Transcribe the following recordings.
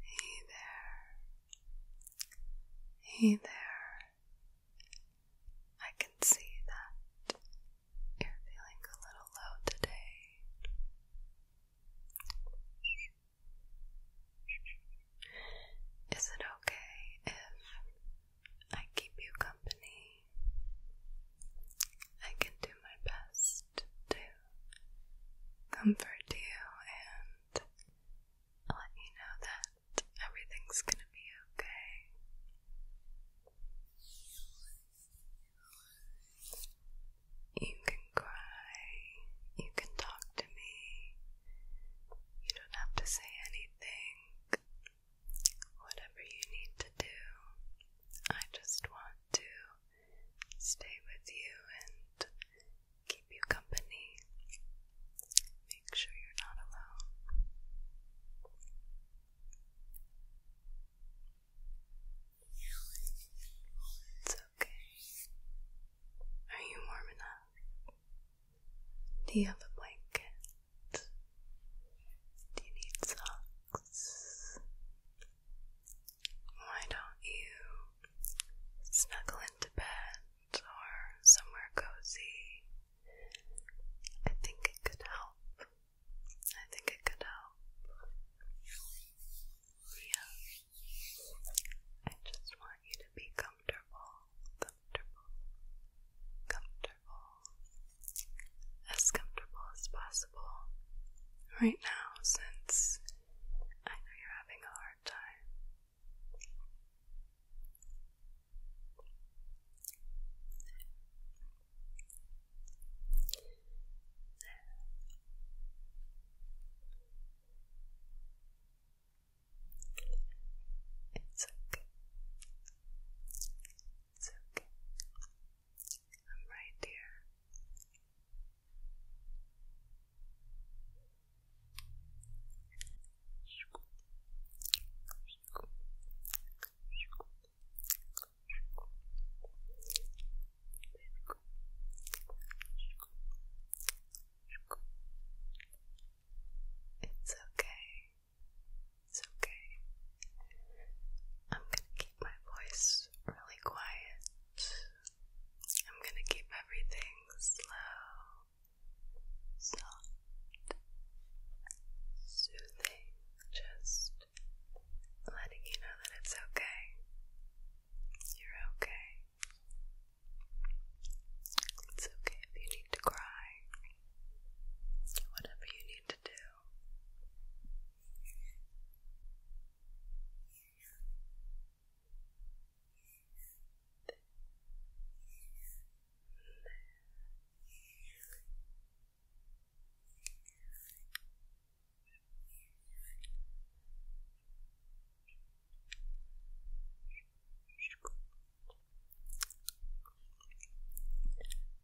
Hey there. Hey there. I can see that you're feeling a little low today. Is it okay if I keep you company? I can do my best to comfort you and let you know that everything's gonna be okay. You can cry, you can talk to me, you don't have to say anything. Whatever you need to do, I just want to stay with you and keep you company. Make sure you're not alone. It's okay. Are you warm enough? Do you have a blanket? Do you need socks? Why don't you snuggle into bed or somewhere cozy? I think it could help. I think it could help. Yeah. I just want you to be comfortable, comfortable, comfortable as comfortable as possible right now since I know you're having a hard time. It's okay. It's okay. I'm right there. It's okay. It's okay. I'm going to keep my voice really quiet. I'm gonna keep everything slow, soft, soothing, just letting you know that it's okay. You're okay. It's okay if you need to cry. Whatever you need to do.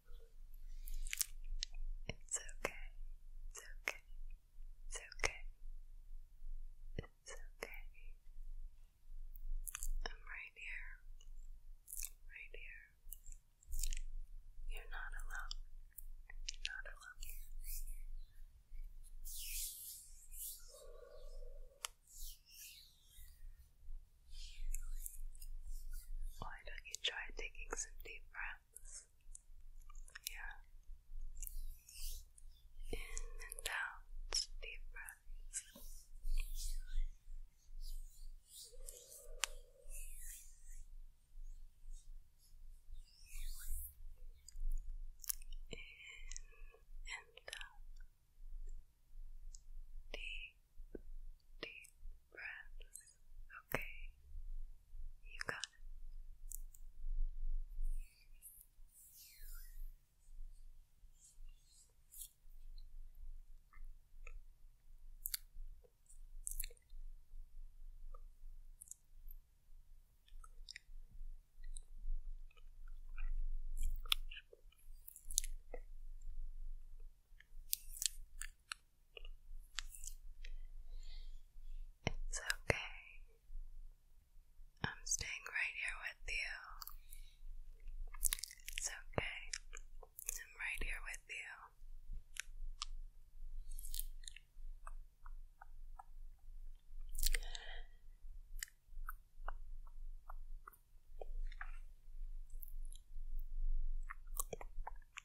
It's okay. It's okay. It's okay. It's okay. I'm right here. Right here. You're not alone. not alone. Why don't you try taking some deep breaths? breaths. Yeah. In and out, deep breaths. In and out. Deep, deep breaths. Okay, you got it. It's okay. I'm staying right here with you. It's okay. I'm right here with you.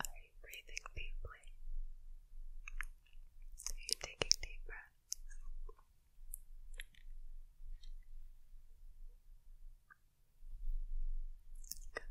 Are you breathing deeply? Are taking deep breaths? Good.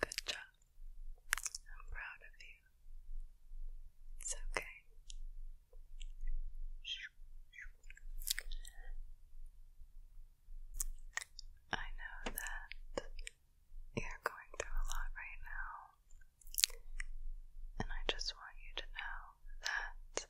Good job. I'm proud of you. It's okay. I know that you're going through a lot right now, and I just want you to know that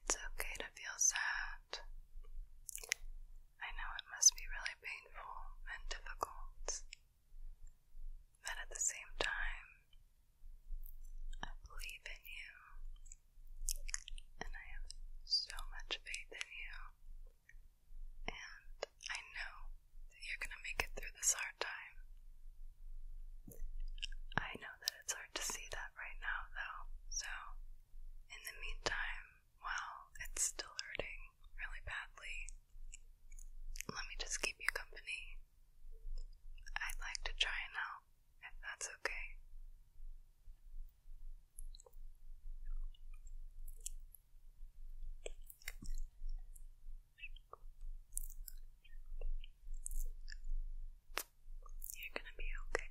it's okay to feel sad. I know it must be really painful and difficult, but at the same time, I believe in you, and I have so much faith in you, and I know that you're going to make it through this hard time. I know that it's hard to see that right now, though, so in the meantime, while it's still hurting really badly, let me just keep you company. I'd like to try it out, if that's okay. You're gonna be okay.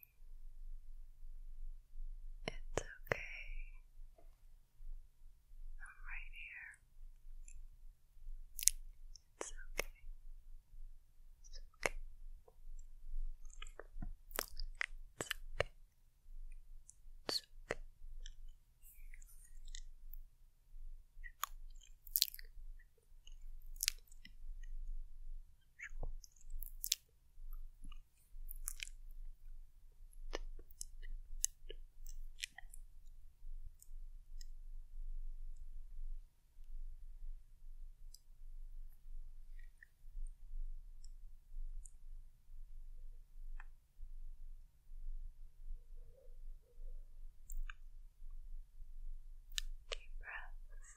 It's okay. I'm right here. It's okay. It's okay. It's okay. It's okay. Deep breaths.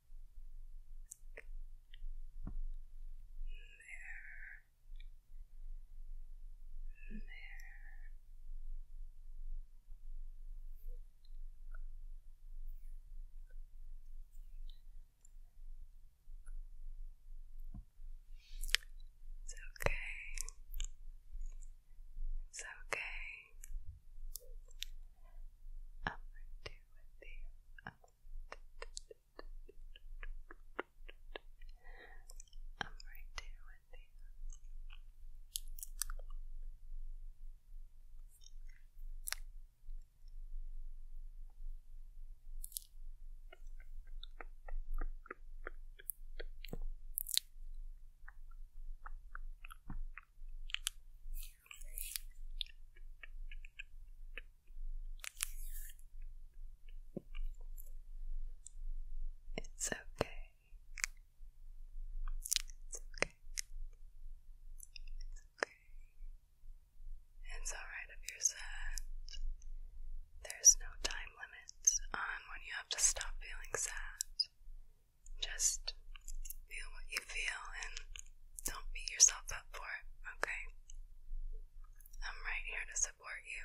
There. There. It's okay. It's okay. Up do I'm right there with you. It's okay. It's okay. It's okay. It's alright if you're sad. There's no time limit on when you have to stop feeling sad. Just feel what you feel and don't beat yourself up for it, okay? I'm right here to support you.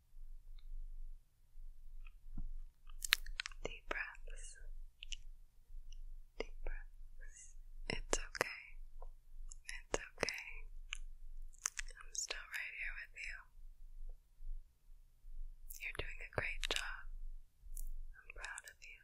Deep breaths. Deep breaths. It's okay. It's okay. I'm still right here with you. You're doing a great job. I'm proud of you.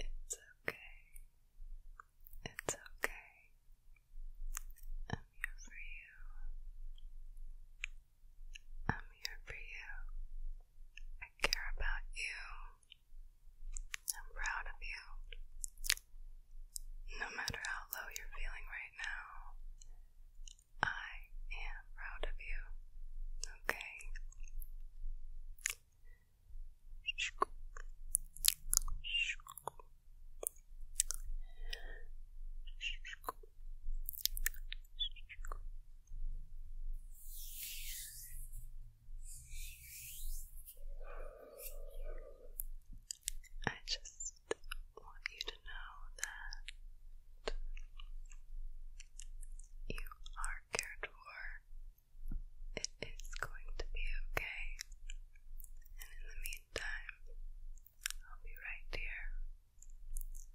It's okay. It's okay. I'm here for you. I'm here for you. I care about you. I'm proud of you. No matter how low you're feeling right now, I am proud of you. Okay. I just want you to know that you are cared for. It is going to be okay. And in the meantime, I'll be right here.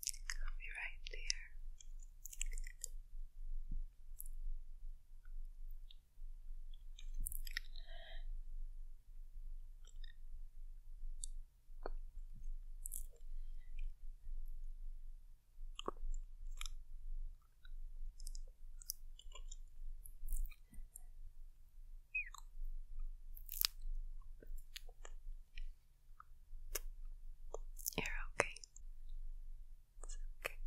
I'll be right here. You're okay. It's okay.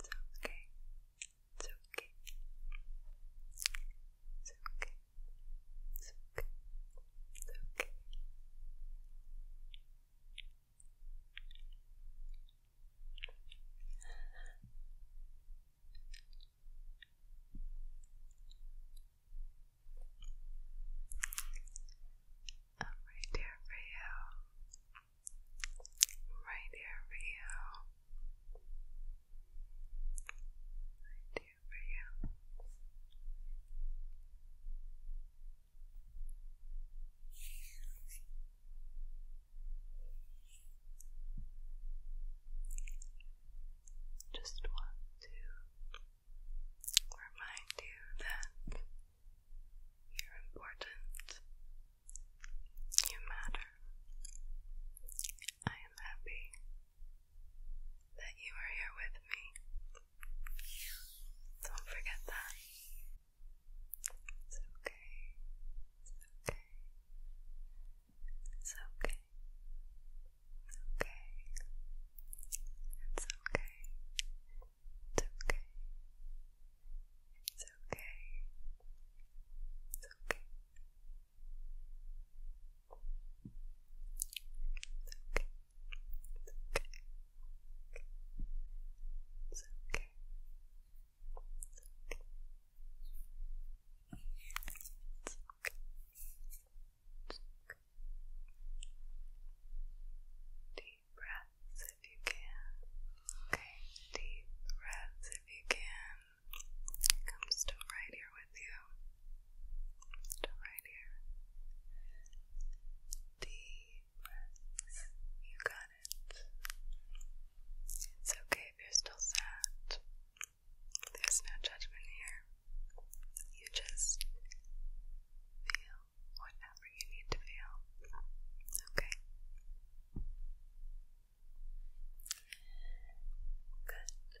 It's okay. It's okay. It's okay okay. It's okay. It's okay. I'm right here for you. I'm right here for you. Right do you. Just want to remind you that you're important. You matter. I am happy that you are here with me. Don't forget that. It's okay. It's okay. It's okay. okay. It's okay. It's okay. It's okay. It's okay okay. It's okay. It's okay. It's okay. Deep breaths if you can. Okay, deep breaths if you can. Comes to right here here with you. right here. Deep You got it. It's okay if you're still sad. There's no judgment here. You just feel whatever you need to feel. Okay? Good.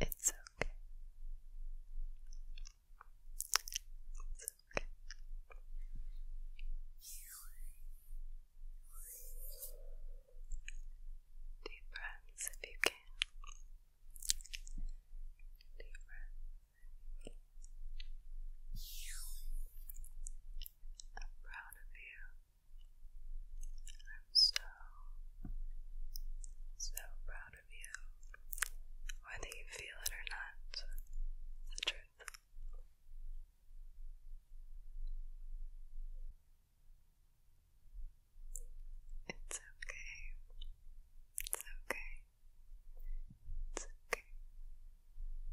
It's okay. It's okay. Deep breaths if you can. Deep breaths. I'm proud of you. I'm so, so proud of you, whether you feel it or not. The truth. It's okay. It's okay. It's okay.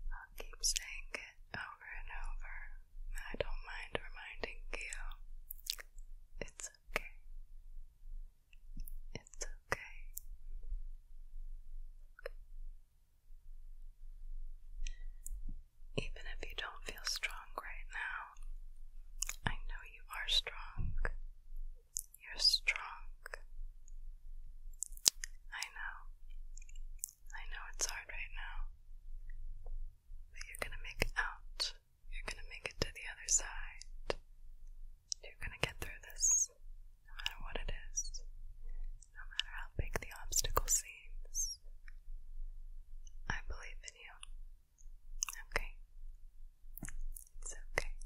I'll keep saying it over and over. I don't mind reminding you. It's okay. It's okay. Even if you don't feel strong right now, I know you are strong. You're strong. I know. I know it's hard right now you're gonna make it out. You're gonna make it to the other side. You're gonna get through this, no matter what it is, no matter how big the obstacle seems. I believe in you. Okay? It's okay. It's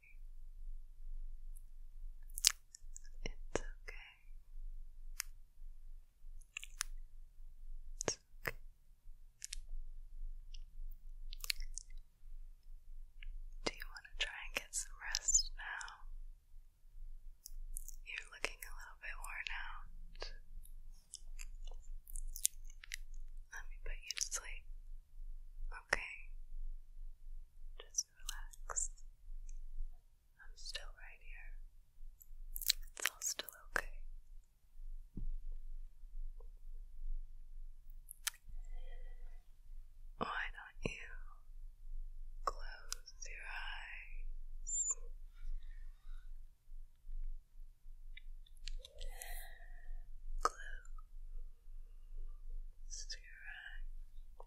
It's okay. It's okay. Do you want to try and get some rest now? You're looking a little bit worn out. Let me put you to sleep. Okay. Just relax. I'm still right here. It's all still okay. Why don't you close your eyes? Close your eyes.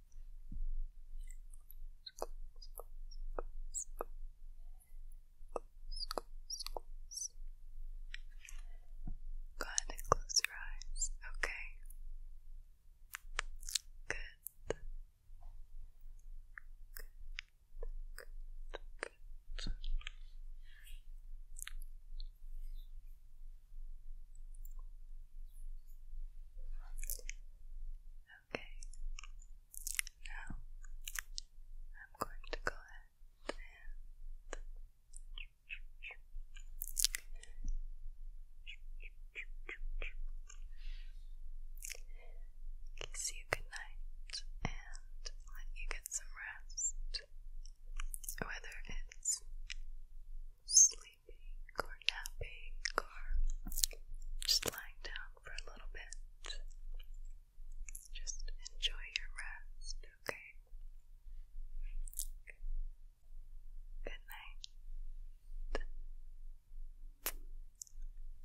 Go ahead and close your eyes, okay? Good. Good. Good. Good. Okay. Now I'm going to go ahead and kiss you goodnight and let you get some rest. Whether it's sleep or napping or just lying down for a little bit. Just enjoy your rest, okay? Good night. Good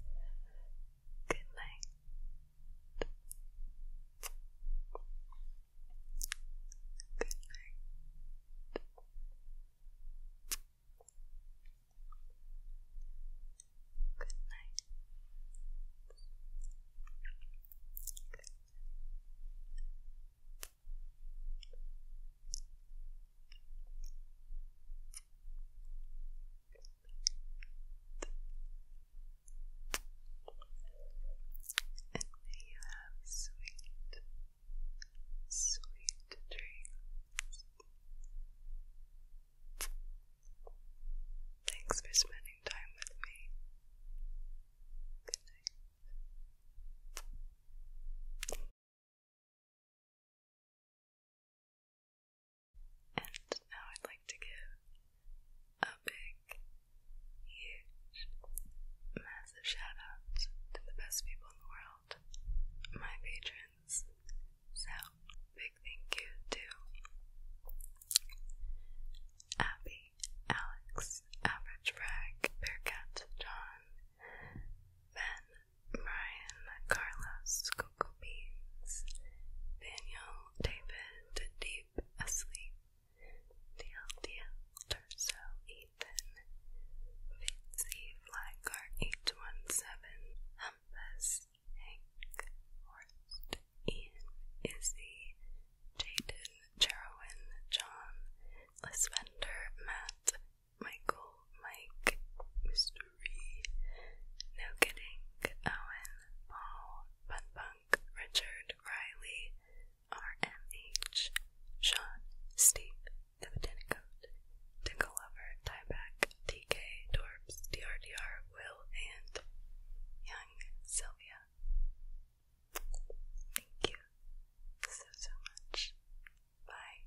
night. Good night. Good night. And may you have sweet Sweet dreams. Thanks for spending time with me. And now I'd like to give a big, huge, massive shout out to the best people in the world my patrons. So, big thank you to Abby, Alex, Average Bragg, Bearcat, John, Ben, Brian, Carlos, Coco Daniel, David, Deep Asleep, DLDL, Terzo, Nathan, Fitzy, Flaggar, 817, Humphus, Hank, Horst, Ian, Izzy, Jaden, Cherwin, John, Lisbender, Matt, Michael, Mike, Mystery, No Kidding, Owen, Paul, Bunbunk, Richard, Riley, RMH, Sean, Steve, Dividend Coat, Tinkle Lover, Tieback, TK, Dorps, DRDR, Will, and Young Sylvia. Thank you so, so much. Bye.